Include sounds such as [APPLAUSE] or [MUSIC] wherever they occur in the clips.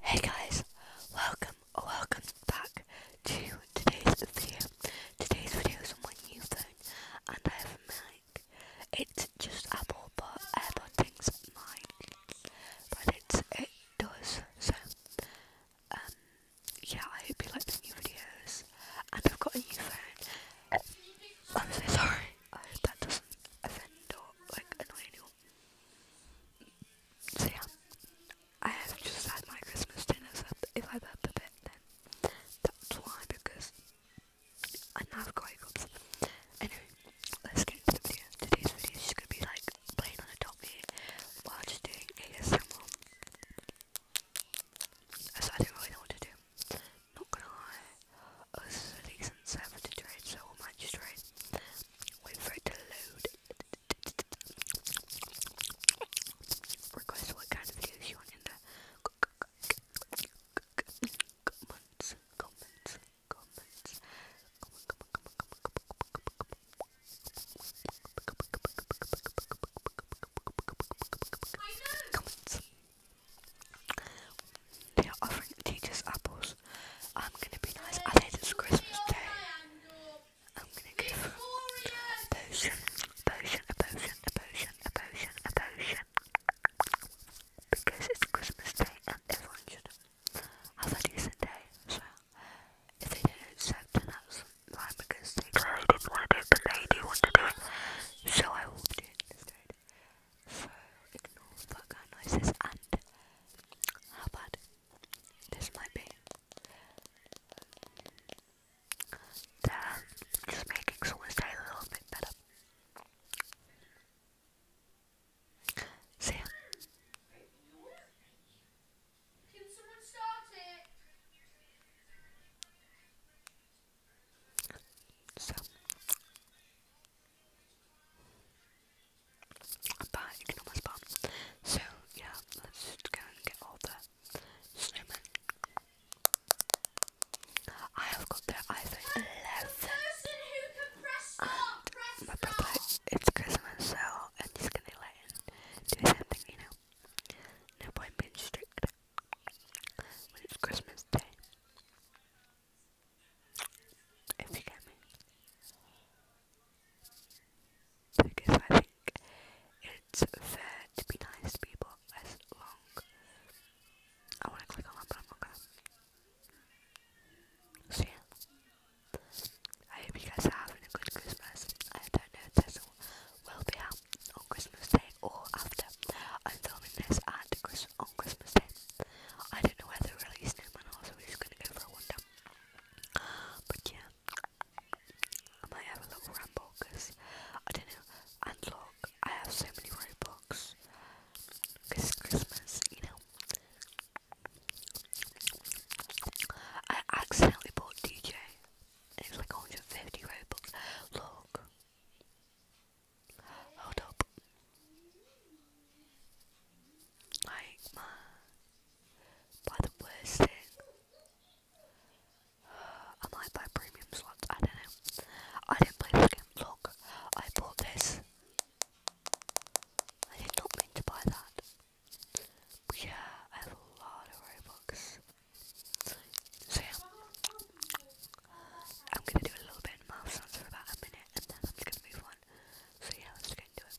Hey guys, welcome welcome back to today's video. Today's video is on my new phone and I have a mic. It's just Apple but AirPod things But it's it does. So um yeah, I hope you like the new videos. And I've got a new phone. I'm so sorry. I hope that doesn't offend or like annoy anyone. So yeah, I have just had my Christmas dinner, so if I burp a bit, then that's why, because I now have quite got something. Anyway, let's get into the video. Today's video is just going to be like playing on a top here while just doing ASMR. So I don't really know what to do. Not gonna lie. Us Leeds and Seven to trade, so will Magistrate. Wait for it to load. Request what kind of videos you want in the comments, comments, comments. Comments. They are offering teachers apples house. I'm gonna be nice. I think it's Christmas Day. I'm gonna give her a potion, a potion, a potion, a potion, a potion, a potion. Because it's Christmas Day and everyone should have a decent day. So, if they don't accept, then that's fine because they clearly didn't want to do it, but they do want to do it. So I will do it instead so ignore background noises and how bad this might be. just making someone's day a little bit better. See So, but you can almost bomb. So yeah, let's go get all the snowmen. I have got their iPhone 11. And my it's Christmas, so I'm just gonna let him do his own thing, you know. No point being strict when it's Christmas Day. Because I think it's fair to be nice to people as long. I want to click on that, but i I hope you guys are having a good Christmas. I don't know if this will be out on Christmas Day or after. I'm filming this at Chris on Christmas Day. I don't know whether to release them or not, so we're just gonna go for a wander. But yeah, I might have a little ramble because I don't know. And I have so many Robux Christmas, you know. I accidentally bought DJ. It was like 150 Robux. Look, Hold up. Like my buy the worst thing. I might premium slots, I don't know. I didn't play this game. Look, I bought this. I did not mean to buy that. But yeah, I have a lot of Robux. So I'm gonna do a little bit of mouth sounds for about a minute and then I'm just gonna move on. So yeah, let's get into it.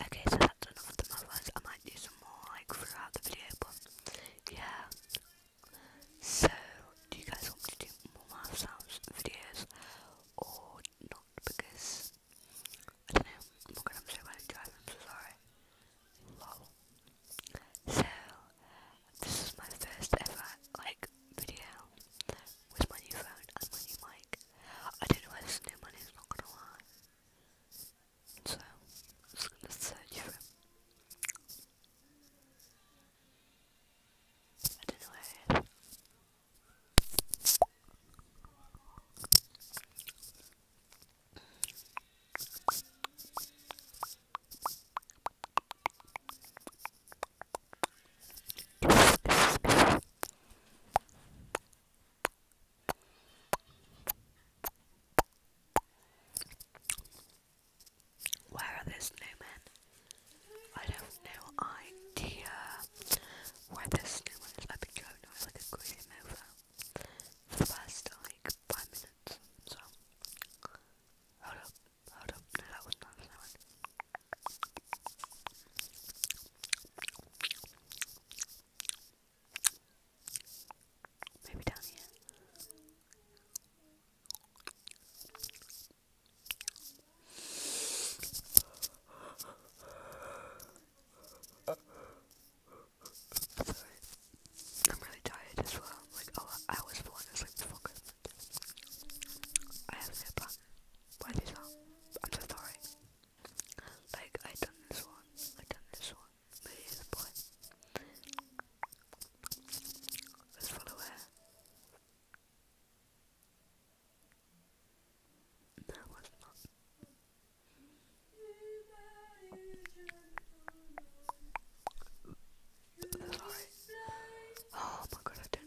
Okay, so that's enough of the modifiers. I might do some more like throughout the video, but yeah. So, do you guys want me to do more mouth sounds videos or not? Because I don't know. I'm not gonna say when I'm driving. I'm so sorry. Lol. So, this is my first ever like video with my new phone and my new mic. I don't know where this new money is, not gonna lie. So, I'm just going I don't know where where are the snowmen? I don't know idea where the snowman is. have been driving away like a crazy mofo for the past like five minutes. So hold up, hold up, that was not a Maybe down here. I'm really tired as well. Like, oh, I was falling asleep before Christmas. I have no plan why these I'm so sorry. Like, I done this one, I done this one, maybe boy. Let's follow her. not. Sorry. Oh my god, I don't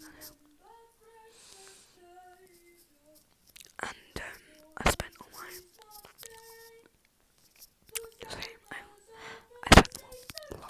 and um, I spent all my same, I, I spent all low.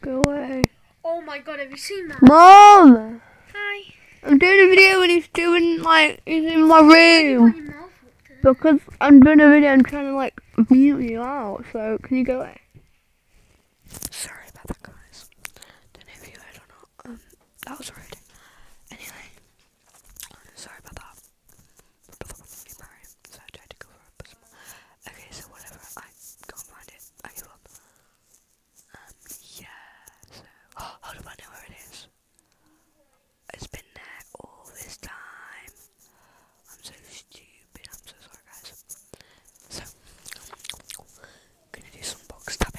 Go away. Oh my god, have you seen that? Mom! Hi. I'm doing a video and he's doing like, he's in my room. Because I'm doing a video, I'm trying to like mute you out, so can you go away? Sorry about that guys. Don't know you heard or not. Um, that was rude. Anyway, sorry about that. Okay, so whatever, I can't find it. I give up. Um, yeah, [GASPS] how do I know where it is? It's been there all this time. I'm so stupid. I'm so sorry, guys. So, I'm gonna do some box tapping.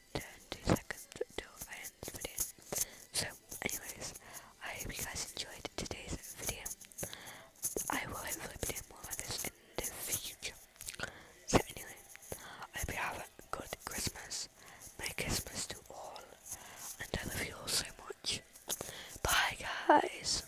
turn seconds till I end the video. So, anyways, I hope you guys enjoyed today's video. I will hopefully be doing more of this in the future. So anyway, I hope you have a good Christmas. Merry Christmas to all. And I love you all so much. Bye guys.